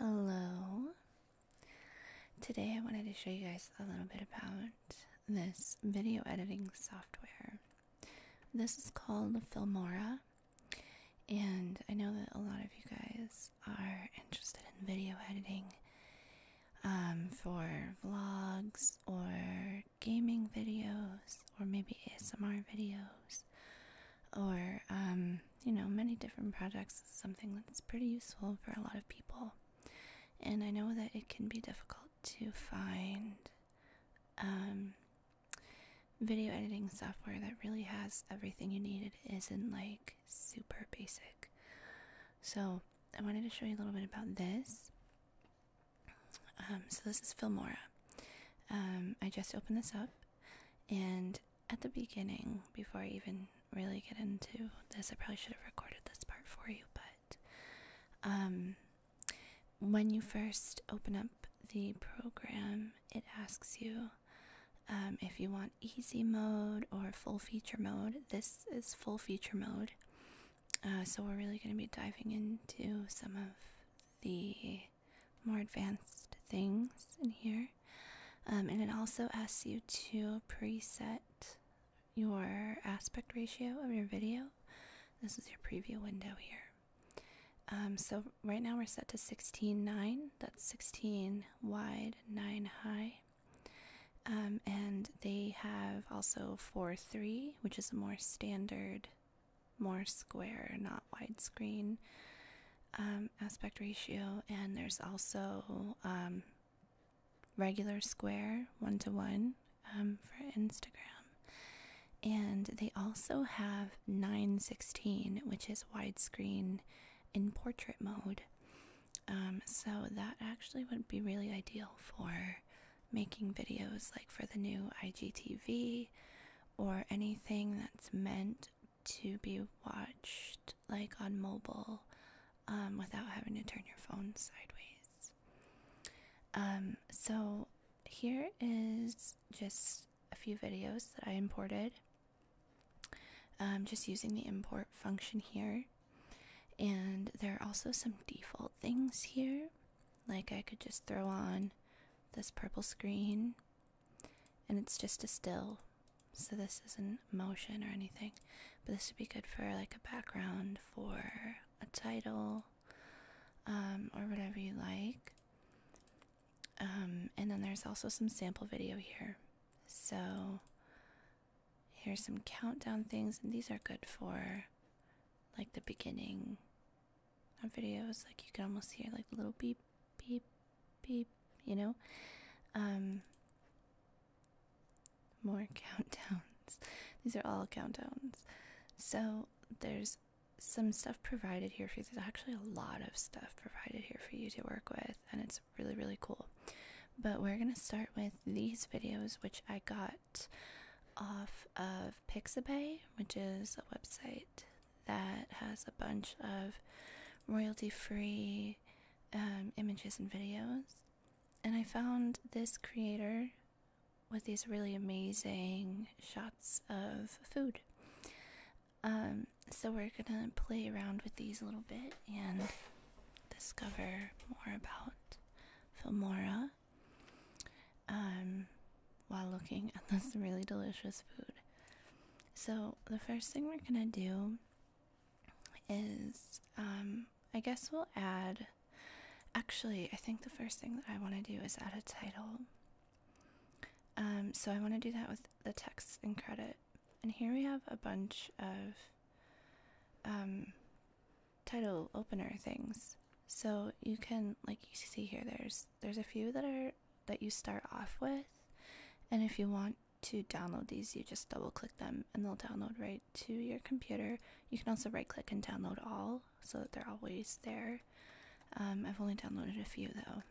Hello. Today I wanted to show you guys a little bit about this video editing software. This is called Filmora, and I know that a lot of you guys are interested in video editing um, for vlogs or gaming videos or maybe ASMR videos or, um, you know, many different projects is something that's pretty useful for a lot of people. And I know that it can be difficult to find um, video editing software that really has everything you need. It isn't like super basic. So, I wanted to show you a little bit about this. Um, so, this is Filmora. Um, I just open this up, and at the beginning, before I even really get into this, I probably should have recorded this part for you, but um, when you first open up the program, it asks you um, if you want easy mode or full feature mode. This is full feature mode. Uh, so, we're really going to be diving into some of the more advanced things in here. Um, and it also asks you to preset your aspect ratio of your video. This is your preview window here. Um, so right now we're set to 16.9. That's 16 wide, 9 high. Um, and they have also 4.3, which is a more standard, more square, not widescreen um, aspect ratio. And there's also regular square, 1 to 1 um, for Instagram. And they also have 916, which is widescreen in portrait mode. Um, so that actually would be really ideal for making videos like for the new IGTV or anything that's meant to be watched like on mobile um, without having to turn your phone sideways. Um, so here is just a few videos that I imported. I'm um, just using the import function here. And there are also some default things here. Like I could just throw on this purple screen, and it's just a still. So this isn't motion or anything. But this would be good for like a background, for a title, um, or whatever you like. Um, and then there's also some sample video here. So here's some countdown things, and these are good for like the beginning of videos. Like you can almost hear like the little beep, beep, beep, you know? Um, more countdowns. These are all countdowns. So there's some stuff provided here for you. There's actually a lot of stuff provided here for you to work with, and it's really, really cool. But we're going to start with these videos, which I got off of Pixabay, which is a website that has a bunch of royalty free um, images and videos. And I found this creator with these really amazing shots of food. Um, so we're gonna play around with these a little bit and discover more about Filmora um, while looking at this really delicious food. So the first thing we're gonna do is um, I guess we'll add Actually, I think the first thing that I want to do is add a title. Um, so I want to do that with the text and credit. And here we have a bunch of um, title opener things. So you can, like you see here, there's there's a few that are that you start off with, and if you want to download these, you just double click them and they'll download right to your computer. You can also right click and download all so that they're always there. Um, I've only downloaded a few though.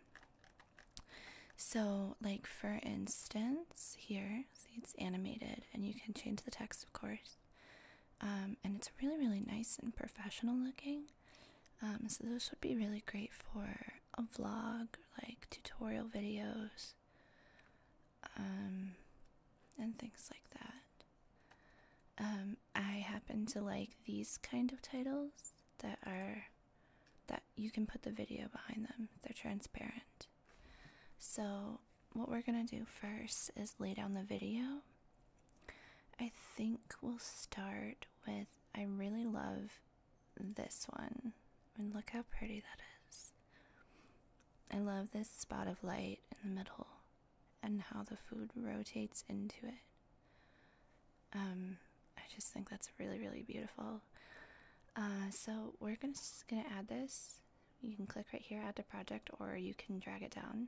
So, like for instance, here, see it's animated, and you can change the text, of course. Um, and it's really, really nice and professional looking. Um, so, those would be really great for a vlog, like tutorial videos, and things like that. I happen to like these kind of titles that are that you can put the video behind them. They're transparent. So what we're gonna do first is lay down the video. I think we'll start with I really love this one. And look how pretty that is. I love this spot of light in the middle and how the food rotates into it. Um, I just think that's really, really beautiful. Uh, so we're gonna, just gonna add this. You can click right here, add to project, or you can drag it down.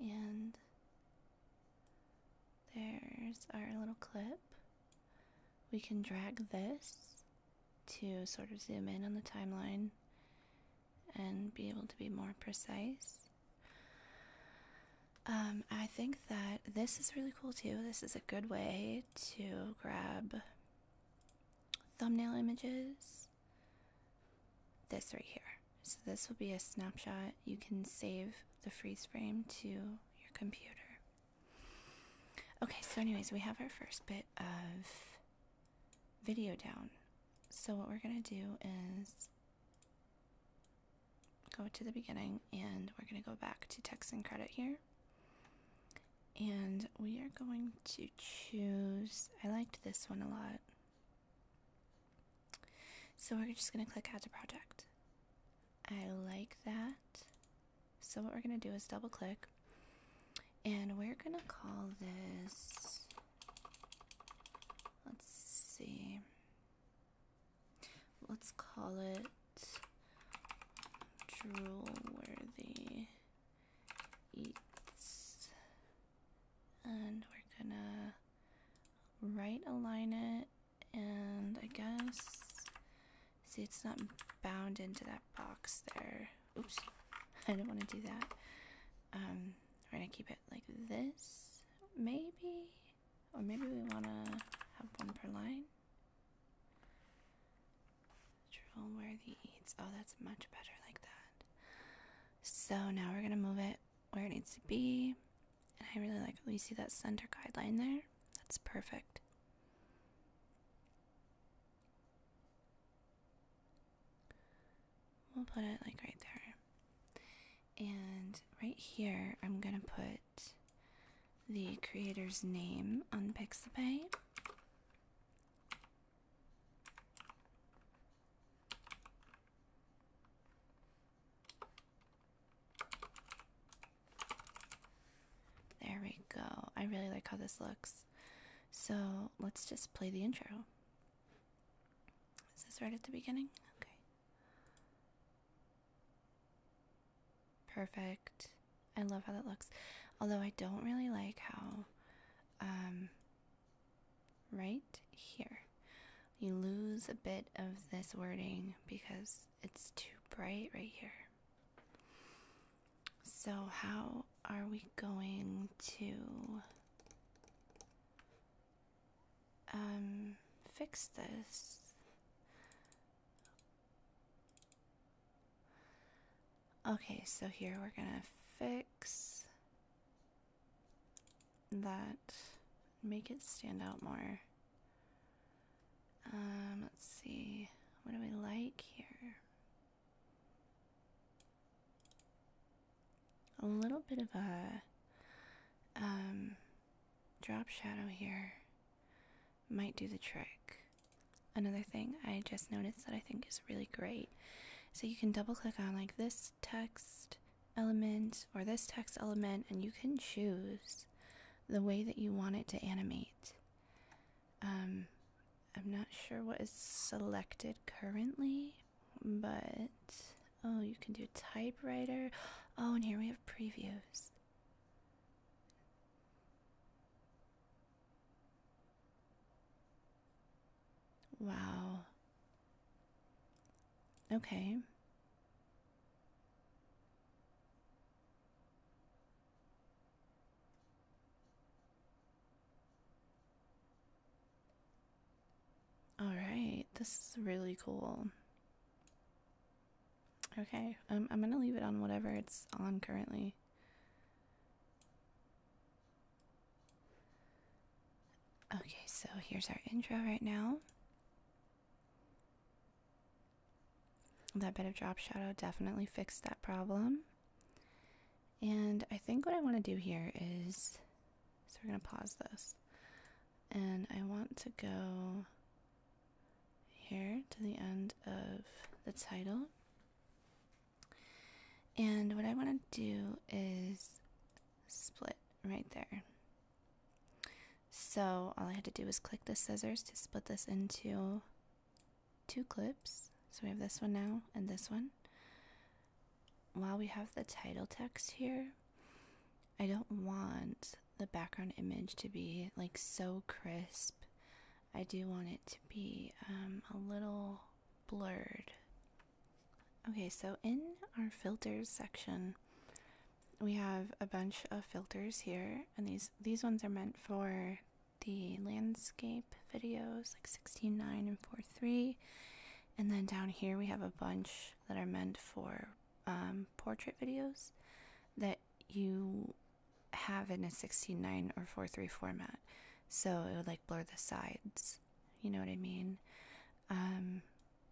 And there's our little clip. We can drag this to sort of zoom in on the timeline and be able to be more precise. Um, I think that this is really cool too. This is a good way to grab thumbnail images. This right here. So, this will be a snapshot. You can save the freeze frame to your computer. Okay, so, anyways, we have our first bit of video down. So what we're going to do is go to the beginning and we're going to go back to text and credit here. And we are going to choose, I liked this one a lot. So we're just going to click add to project. I like that. So what we're going to do is double click and we're going to call this let's see. Let's call it Droolworthy Eats. And we're gonna right align it and I guess see it's not bound into that box there. Oops, I don't want to do that. Um, we're gonna keep it like this, maybe, or maybe we wanna have one per line. where the eats. Oh, that's much better like that. So now we're gonna move it where it needs to be. And I really like it. You see that center guideline there? That's perfect. We'll put it like right there. And right here, I'm going to put the creator's name on Pixabay. There we go. I really like how this looks. So let's just play the intro. Is this right at the beginning? Okay. Perfect. I love how that looks. Although I don't really like how, um, right here, you lose a bit of this wording because it's too bright right here. So, how are we going to um, fix this. Okay, so here we're gonna fix that, make it stand out more. Um, let's see, what do we like here? a little bit of a um, drop shadow here might do the trick. Another thing I just noticed that I think is really great. So you can double click on like this text element or this text element and you can choose the way that you want it to animate. Um, I'm not sure what is selected currently, but oh, you can do typewriter. Oh, and here we have previews. Wow. Okay. All right, this is really cool. Okay, um, I'm gonna leave it on whatever it's on currently. Okay, so here's our intro right now. That bit of drop shadow definitely fixed that problem. And I think what I want to do here is so we're going to pause this. And I want to go here to the end of the title. And what I want to do is split right there. So all I had to do was click the scissors to split this into two clips. So we have this one now and this one while we have the title text here, I don't want the background image to be like so crisp. I do want it to be um, a little blurred. Okay, so in our filters section, we have a bunch of filters here, and these these ones are meant for the landscape videos like 16.9 and 4.3. And then down here we have a bunch that are meant for um, portrait videos that you have in a 16:9 or 4:3 format, so it would like blur the sides. You know what I mean? Um,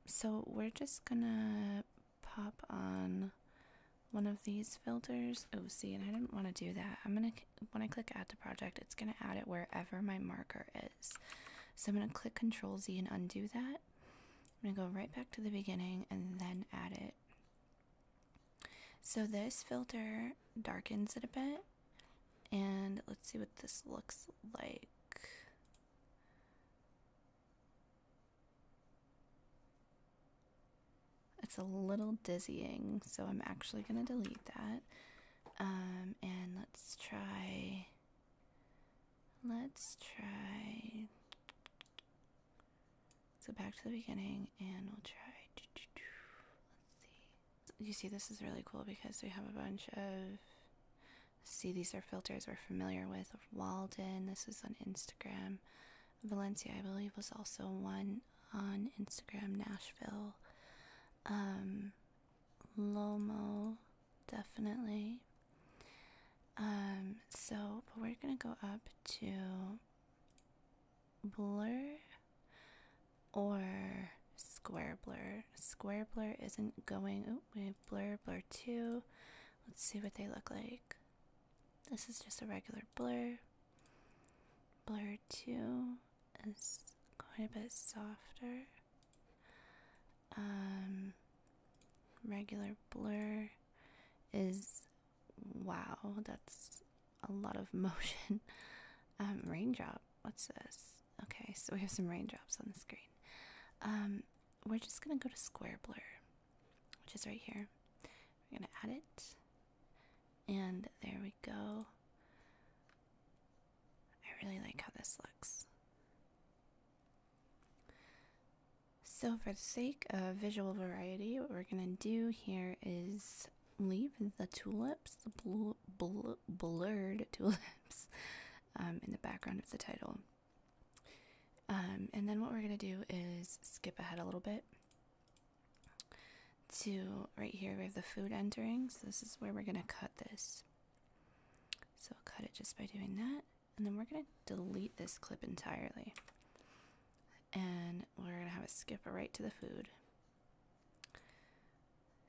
so we're just gonna pop on one of these filters. Oh, see, and I didn't want to do that. I'm gonna when I click Add to Project, it's gonna add it wherever my marker is. So I'm going to click Control Z and undo that. I'm going to go right back to the beginning and then add it. So this filter darkens it a bit. And let's see what this looks like. It's a little dizzying, so I'm actually going to delete that. Um, and let's try Let's try. So back to the beginning, and we'll try. Let's see. You see, this is really cool because we have a bunch of. See, these are filters we're familiar with. Walden, this is on Instagram. Valencia, I believe, was also one on Instagram. Nashville. Um, Lomo definitely. Um, so, we're gonna go up to blur or square blur. Square blur isn't going. Oh, we have blur, blur 2. Let's see what they look like. This is just a regular blur. Blur 2 is quite a bit softer. Um, regular blur is wow, that's a lot of motion. Um, raindrop, what's this? Okay, so we have some raindrops on the screen. Um, we're just gonna go to square blur, which is right here. We're gonna add it, and there we go. I really like how this looks. So for the sake of visual variety, what we're going to do here is leave the tulips, the blue blurred tulips, um, in the background of the title. Um, and then what we're going to do is skip ahead a little bit to right here we have the food entering, so this is where we're going to cut this. So I'll cut it just by doing that. And then we're going to delete this clip entirely. And we're going to have it skip right to the food.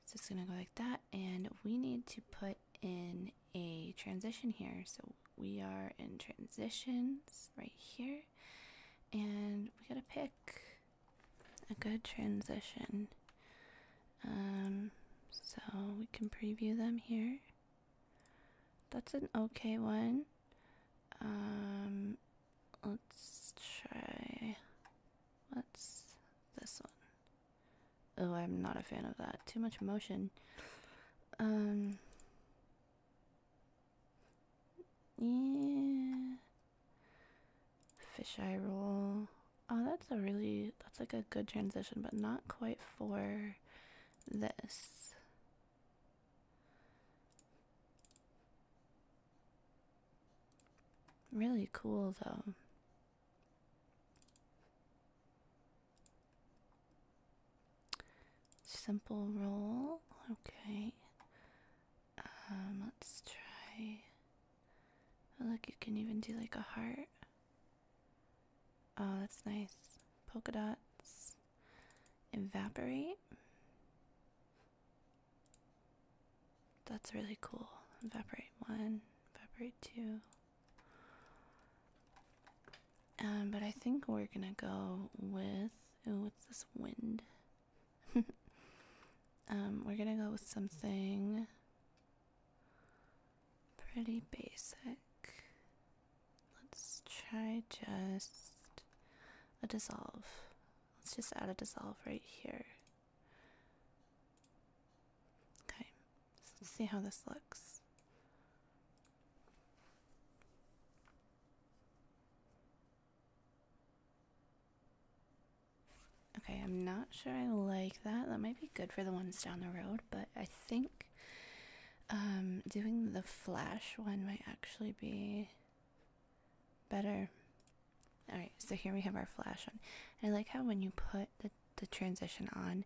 It's just going to go like that. And we need to put in a transition here. So we are in transitions right here. And we got to pick a good transition. Um, so we can preview them here. That's an okay one. Um, let's try. What's this one? Oh, I'm not a fan of that. Too much motion. Um. Yeah. Fisheye roll. Oh, that's a really, that's like a good transition, but not quite for this. Really cool though. Simple roll, okay. Um, let's try. Oh, look, you can even do like a heart. Oh, that's nice. Polka dots. Evaporate. That's really cool. Evaporate one, evaporate two. Um, but I think we're gonna go with ooh, what's this wind? um, we're gonna go with something Pretty basic. Let's try just a dissolve. Let's just add a dissolve right here. Okay, let's see how this looks. Okay, I'm not sure I like that. That might be good for the ones down the road, but I think um, doing the flash one might actually be better. Alright, so here we have our flash on. I like how when you put the, transition on,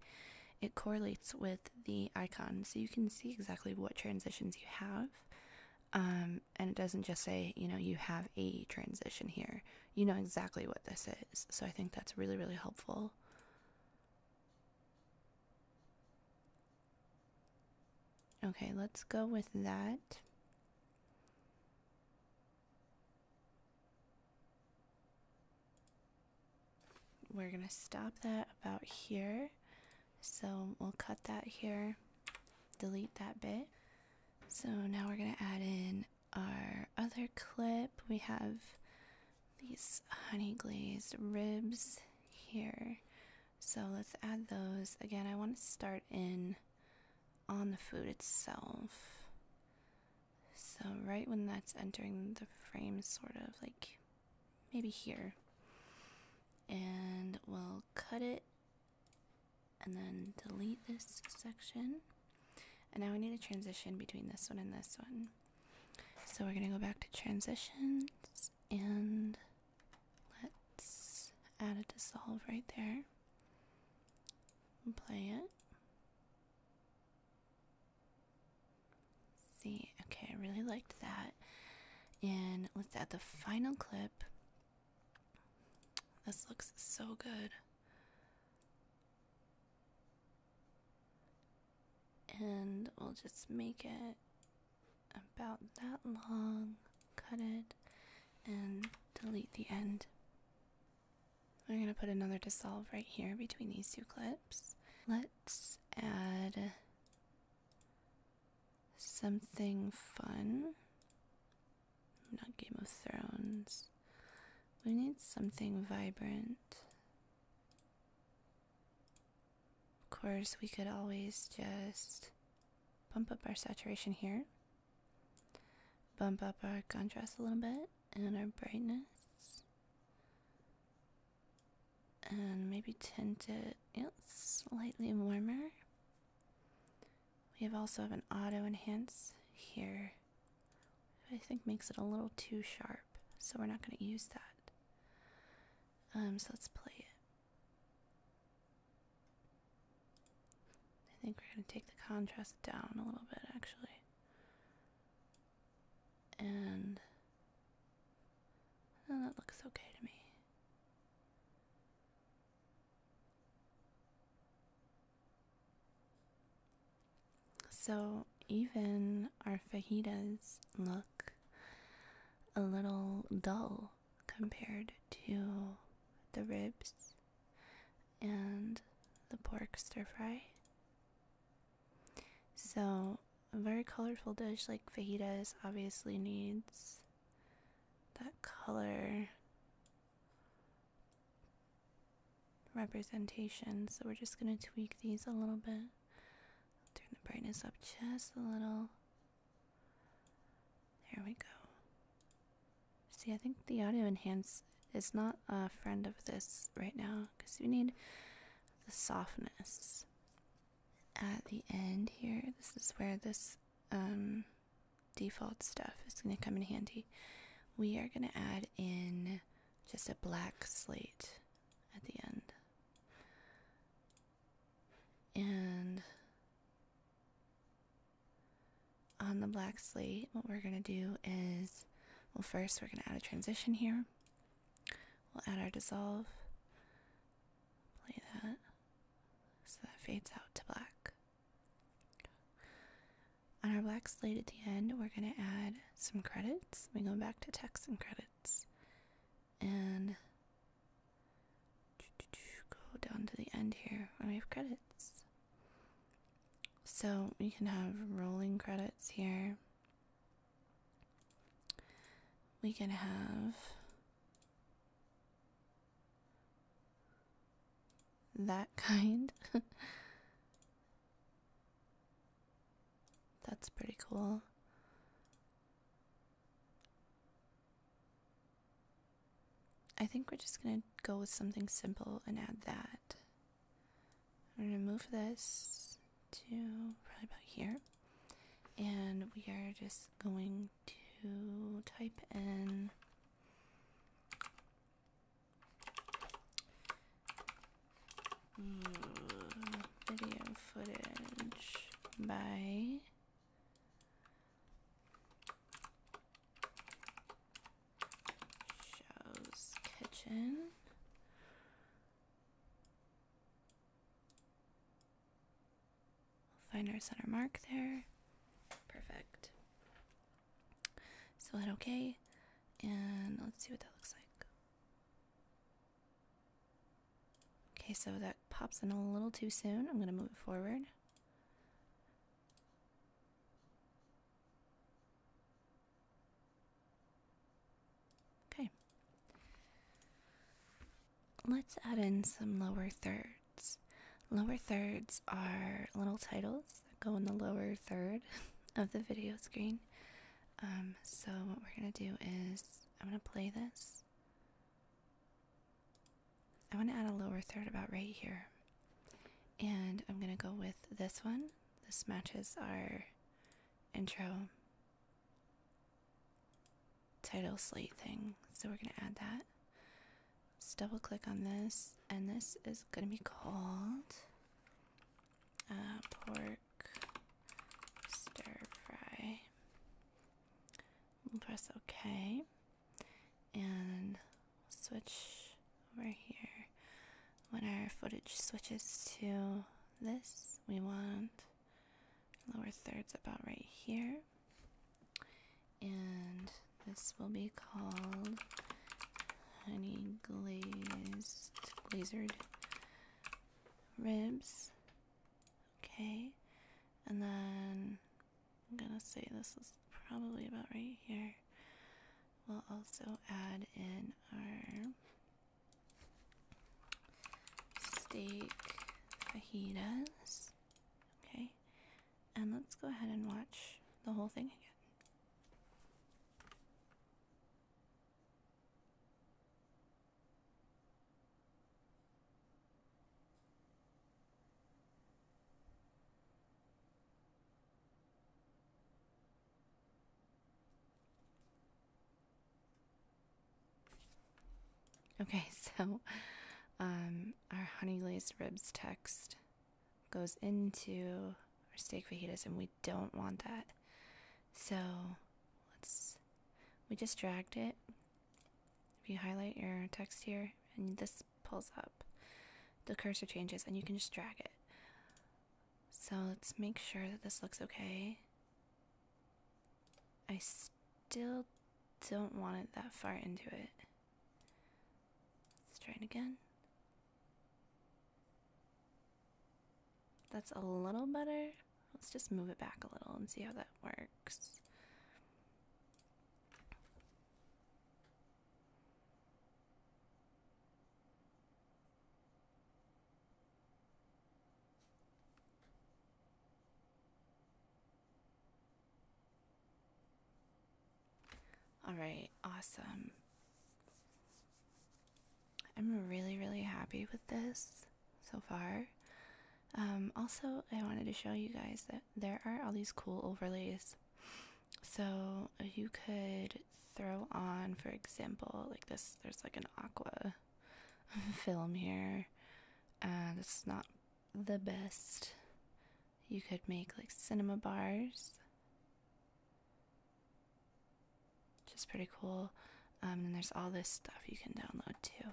it correlates with the icon so you can see exactly what transitions you have. Um, and it doesn't just say, you know, you have a transition here. You know exactly what this is. So I think that's really, really helpful. Okay, let's go with that. We're going to stop that about here. So we'll cut that here, delete that bit. So now we're going to add in our other clip, we have these honey glazed ribs here. So let's add those. Again, I want to start in on the food itself. So, right when that's entering the frame, sort of like maybe here. And we'll cut it and then delete this section. And now we need a transition between this one and this one. So we're going to go back to transitions and let's add a dissolve right there and play it. See, okay, I really liked that. And let's add the final clip. This looks so good and we'll just make it about that long, cut it, and delete the end. I'm going to put another dissolve right here between these two clips. Let's add something fun. Not Game of Thrones. We need something vibrant. Of course, we could always just bump up our saturation here, bump up our contrast a little bit, and our brightness. And maybe tint it yeah, slightly warmer. We have also have an auto enhance here I think makes it a little too sharp, so we're not going to use that. Um, so let's play it. I think we're going to take the contrast down a little bit actually. And oh, that looks okay to me. So even our fajitas look a little dull compared to the ribs and the pork stir fry. So, a very colorful dish like fajitas obviously needs that color representation. So we're just going to tweak these a little bit. Turn the brightness up just a little. There we go. See, I think the audio enhance is not a friend of this right now because we need the softness. At the end here, this is where this um, default stuff is going to come in handy. We are going to add in just a black slate at the end. And on the black slate, what we're going to do is well, first we're going to add a transition here. We'll add our dissolve, play that so that fades out to black. On our black slate at the end, we're going to add some credits. Let me go back to text and credits. And go down to the end here when we have credits. So we can have rolling credits here. We can have that kind. That's pretty cool. I think we're just gonna go with something simple and add that. I'm gonna move this to probably about here. And we are just going to type in video footage by Show's Kitchen. find our center mark there. Perfect. So hit OK, and let's see what that looks like. Okay, so that pops in a little too soon. I'm going to move it forward. Okay. Let's add in some lower thirds. Lower thirds are little titles that go in the lower third of the video screen. Um, so what we're gonna do is I'm gonna play this. I want to add a lower third about right here. And I'm gonna go with this one. This matches our intro title slate thing. So we're gonna add that. Let's double click on this, and this is gonna be called uh, pork stir fry. We'll press OK and switch over here. When our footage switches to this, we want lower thirds about right here. And this will be called honey glazed, glazed ribs. Okay, and then I'm gonna say this is probably about right here. We'll also add in our steak fajitas. Okay, and let's go ahead and watch the whole thing again. Okay, so um, our honey glazed ribs text goes into our steak fajitas, and we don't want that. So let's, we just dragged it. If you highlight your text here, and this pulls up, the cursor changes, and you can just drag it. So let's make sure that this looks okay. I still don't want it that far into it. Let's try it again. That's a little better. Let's just move it back a little and see how that works. All right, awesome. I'm really, really happy with this so far. Um, also, I wanted to show you guys that there are all these cool overlays. So you could throw on, for example, like this. There's like an aqua film here, and uh, it's not the best. You could make like cinema bars which is pretty cool. Um, and there's all this stuff you can download too,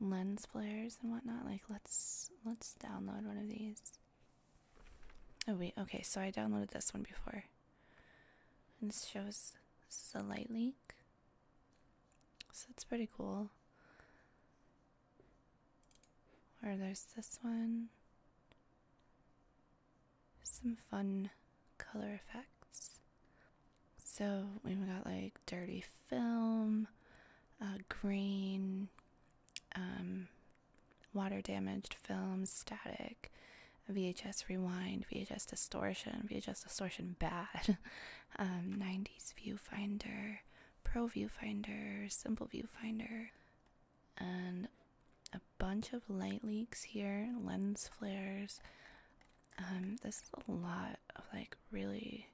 lens flares and whatnot. Like let's let's download one of these. Oh wait, okay. So I downloaded this one before, and this shows this is a light leak, so that's pretty cool. Or there's this one some fun color effects. So we've got like dirty film, uh, green, um, water damaged film, static, VHS rewind, VHS distortion, VHS distortion bad, 90s um, viewfinder, pro viewfinder, simple viewfinder, and a bunch of light leaks here, lens flares. Um, this is a lot of like really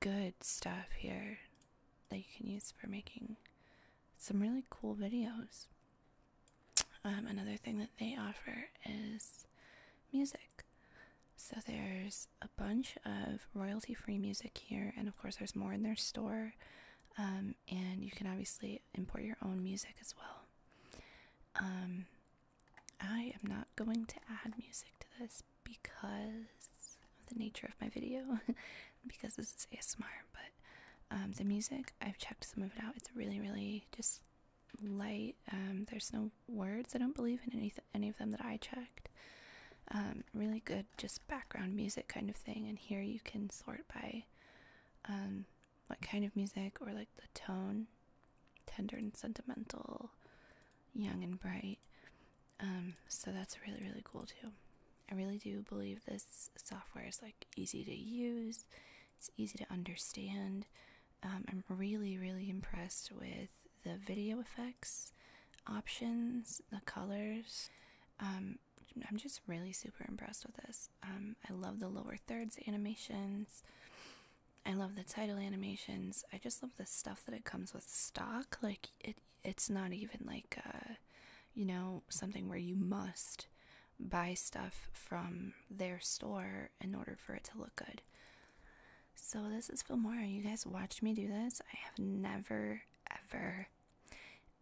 good stuff here that you can use for making some really cool videos. Um, another thing that they offer is music. So there's a bunch of royalty free music here, and of course, there's more in their store. Um, and you can obviously import your own music as well. Um, I am not going to add music to this because of the nature of my video, because this is ASMR. But um, the music, I've checked some of it out. It's really, really just light. Um, there's no words. I don't believe in any any of them that I checked. Um, really good, just background music kind of thing. And here you can sort by um, what kind of music or like the tone tender and sentimental young and bright um, so that's really really cool too i really do believe this software is like easy to use it's easy to understand um, i'm really really impressed with the video effects options the colors um, i'm just really super impressed with this I love the lower thirds animations. I love the title animations. I just love the stuff that it comes with stock. Like it, it's not even like, uh, you know, something where you must buy stuff from their store in order for it to look good. So this is Filmora. You guys watched me do this. I have never ever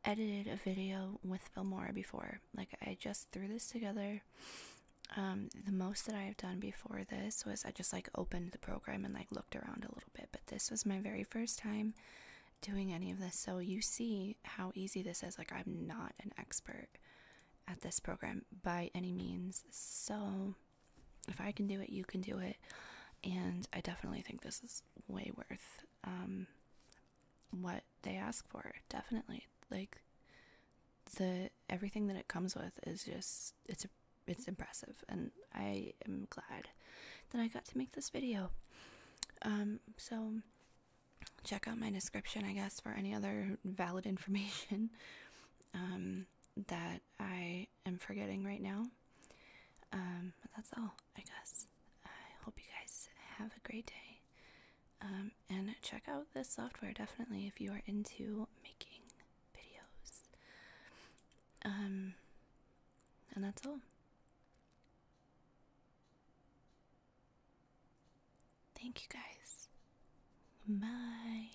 edited a video with Filmora before. Like, I just threw this together. Um, the most that I have done before this was I just like opened the program and like looked around a little bit, but this was my very first time doing any of this. So, you see how easy this is. Like, I'm not an expert at this program by any means. So, if I can do it, you can do it. And I definitely think this is way worth um, what they ask for definitely like the everything that it comes with is just it's it's impressive and i am glad that i got to make this video um so check out my description i guess for any other valid information um that i am forgetting right now um but that's all i guess i hope you guys have a great day um, and check out this software definitely if you are into making videos. Um, and that's all. Thank you guys. Bye.